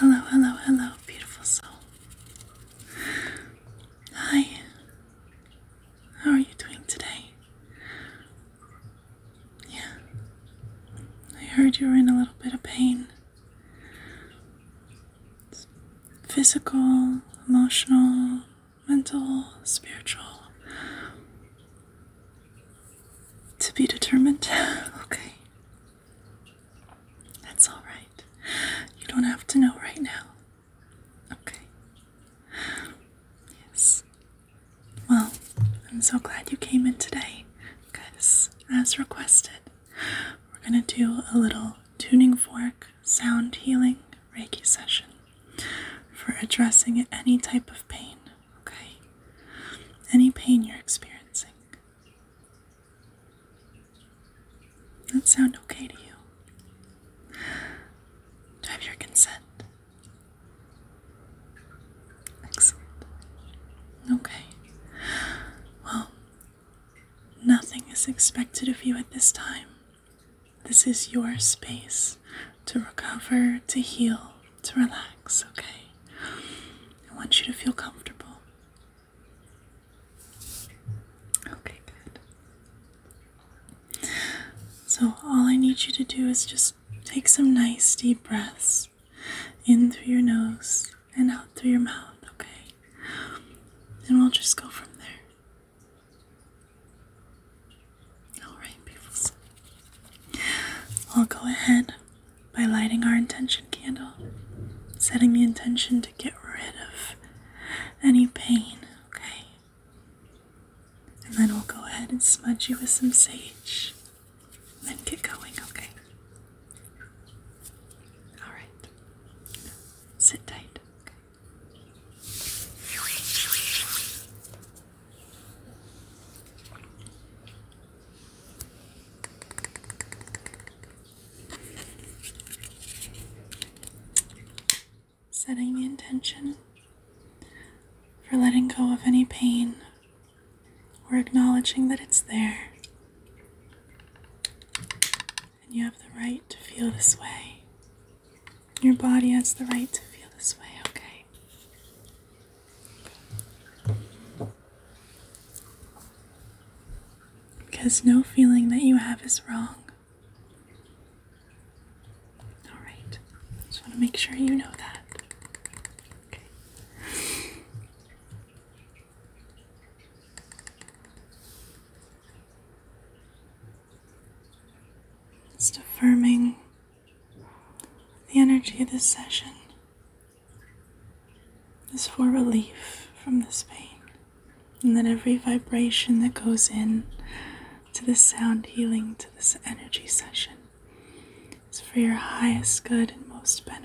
Hello, hello, hello, beautiful soul. Hi. How are you doing today? Yeah. I heard you were in a little bit of pain. physical, emotional, mental, spiritual. To be determined. okay. That's all right. You don't have to know right now. Okay. Yes. Well, I'm so glad you came in today because, as requested, we're going to do a little tuning fork sound healing Reiki session for addressing any type of pain, okay? Any pain you're experiencing. That sound okay to you? Do have your consent? Excellent. Okay. Well, nothing is expected of you at this time. This is your space to recover, to heal, to relax, okay? I want you to feel comfortable. Okay, good. So, all I need you to do is just take some nice deep breaths in through your nose and out through your mouth, okay? And we'll just go from there. Alright, beautiful. I'll go ahead by lighting our intention candle, setting the intention to get rid of any pain, okay? And then we'll go ahead and smudge you with some sage. Then get going, okay? Alright. Sit tight, okay? setting the intention for letting go of any pain or acknowledging that it's there. And you have the right to feel this way. Your body has the right to feel this way, okay? Because no feeling that you have is wrong. Alright, just want to make sure you know that. Just affirming the energy of this session is for relief from this pain, and that every vibration that goes in to this sound healing, to this energy session. It's for your highest good and most benefit.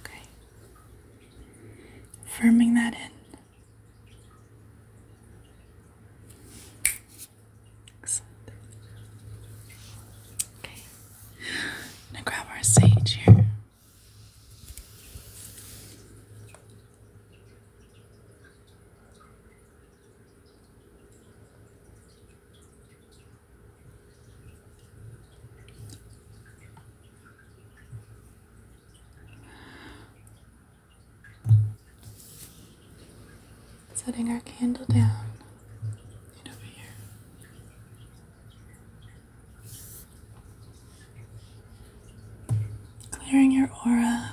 Okay. Firming that in. Okay. Now grab our sage here. Setting our candle down and over here clearing your aura.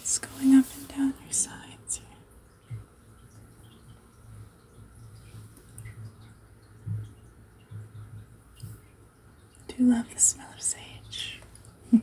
It's going up and down your sides do love the smell of sage.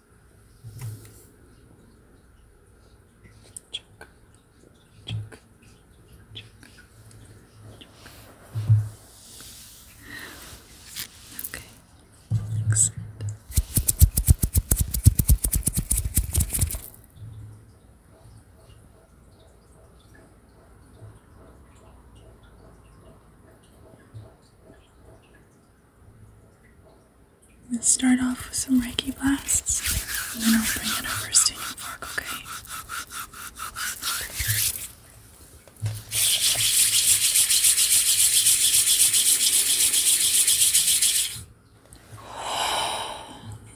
Check. Check. Check. Check. Okay. Excellent. Okay. I'm gonna start off with some Reiki blasts, and then I'll bring it over to your fork, okay?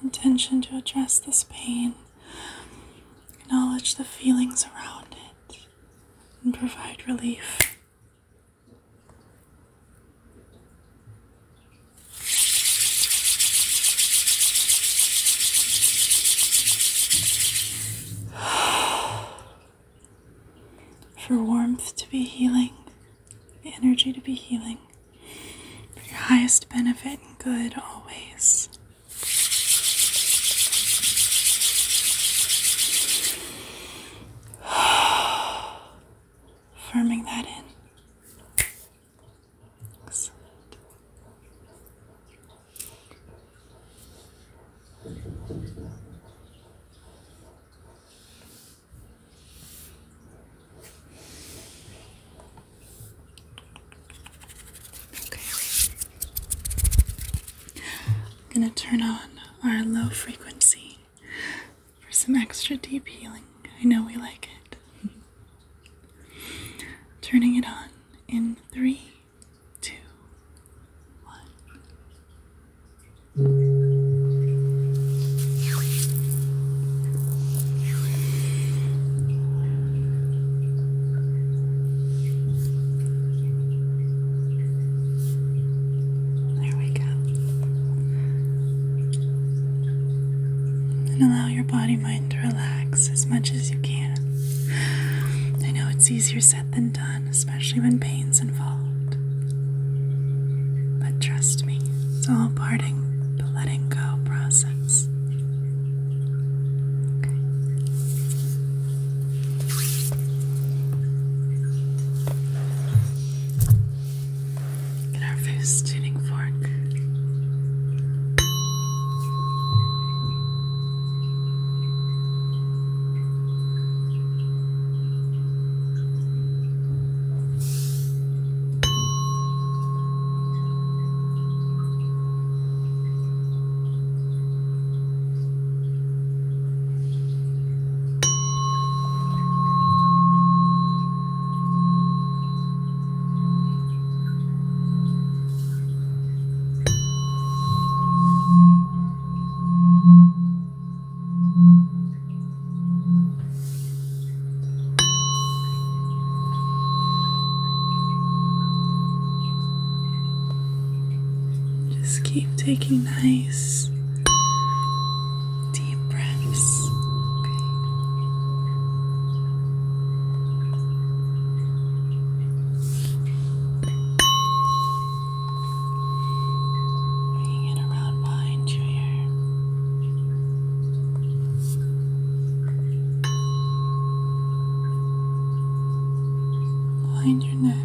Intention to address this pain, acknowledge the feelings around it, and provide relief. for warmth to be healing, energy to be healing, for your highest benefit and good always. Firming that in. Okay. I'm going to turn on our low frequency for some extra deep healing. I know we like it. Turning it on in three, two, one. There we go. And allow your body mind to relax as much as you can. I know it's easier said than done, especially when pain's involved. But trust me, it's all parting the letting go process. Okay. And our first tuning fork. Just keep taking nice Deep breaths. Okay. it around behind you here. Behind your neck.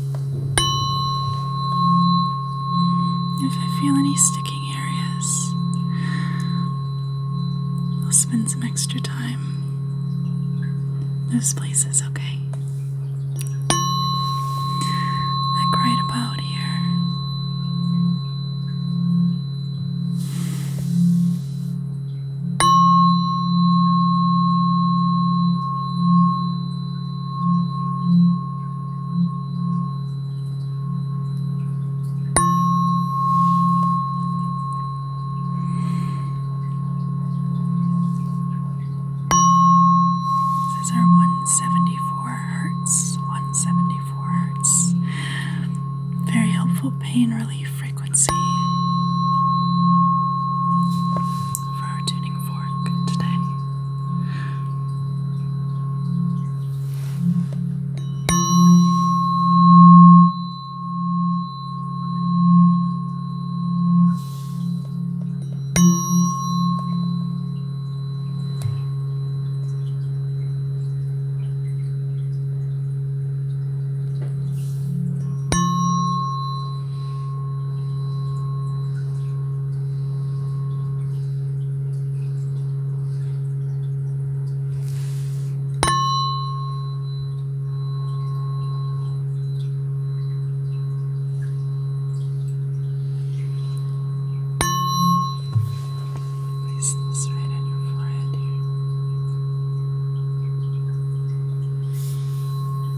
If I feel any sticking areas, I'll spend some extra time. Those places, okay? I cried about here. This is our 174 hertz, 174 hertz. Very helpful pain relief frequency for our tuning fork today. Place this right on your forehead here.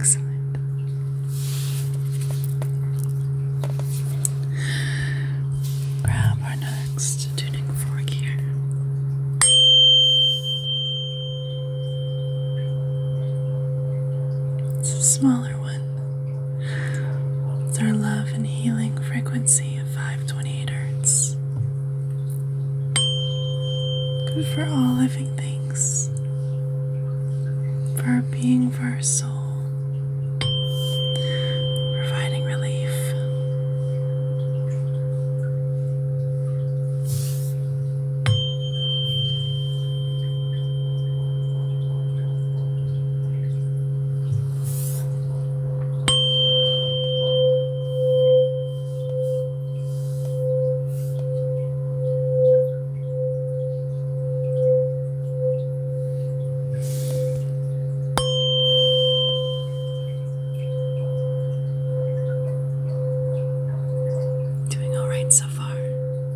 Excellent. Grab our next tuning fork here. It's a smaller one with our love and healing frequency of 528 hertz. Good for all living things, for being, for our soul, providing relief. Doing all right so far.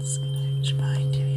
It's gonna reach behind you here.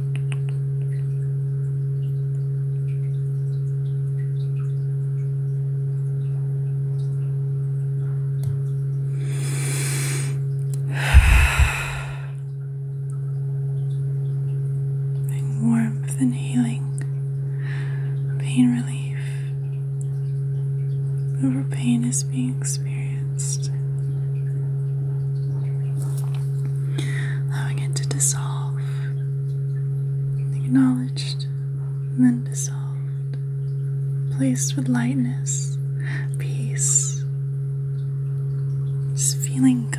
Bring warmth and healing, pain relief. Over pain is being experienced experienced, allowing it to dissolve, acknowledged, and then dissolved, placed with lightness, peace, It's feeling good.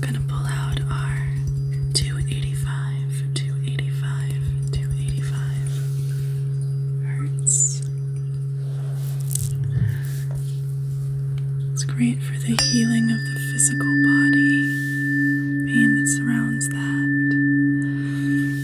gonna pull out our 285, 285, 285 hertz. It's great for the healing of the physical body, pain that surrounds that.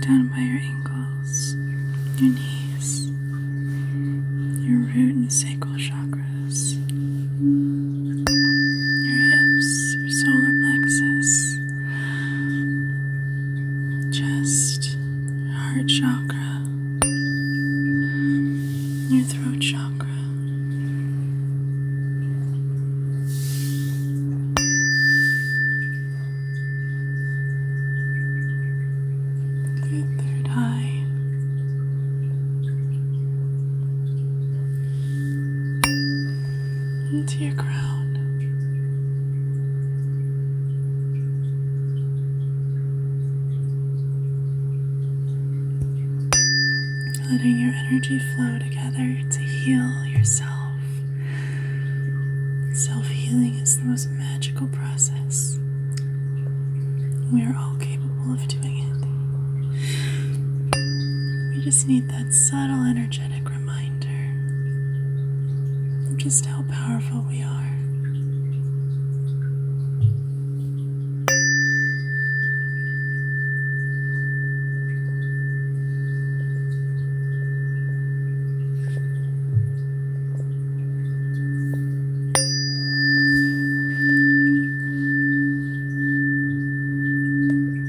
Down by your ankles, your knees, your root and sacral chakras, your hips, your solar plexus, chest, heart chakra, your throat chakra. Your third eye into your crown. Letting your energy flow together to heal yourself. Self healing is the most magical process. We are all capable of doing it. We just need that subtle energetic reminder of just how powerful we are.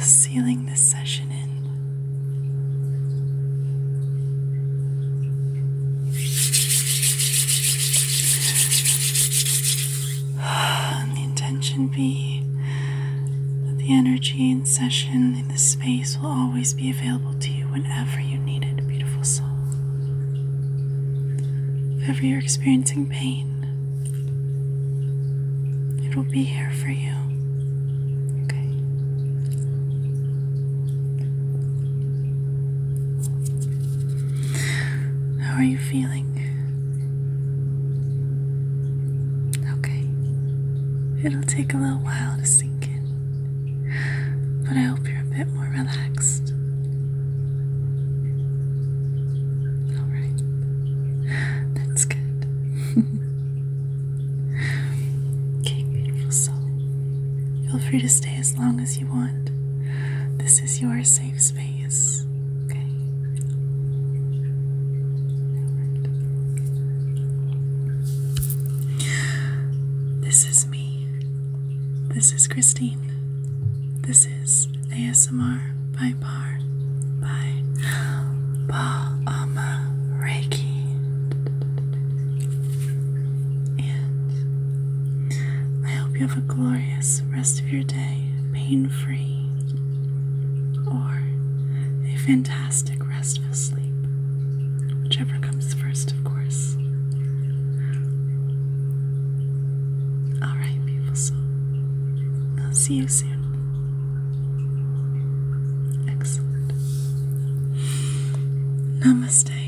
Sealing this session in. the intention be that the energy in session in this space will always be available to you whenever you need it, beautiful soul. If ever you're experiencing pain, It'll be here for you. Okay. How are you feeling? Okay. It'll take a little while to sink in, but I hope you're a bit more relaxed. Alright. That's good. okay, beautiful soul. Feel free to stay as long as you want. This is your safe space. Okay. This is me. This is Christine. This is ASMR by Bar by Palma Reiki. And I hope you have a glorious rest of your day, pain free, or a fantastic restful sleep. Whichever comes first, of course. Alright, beautiful soul. I'll see you soon. Excellent. Namaste.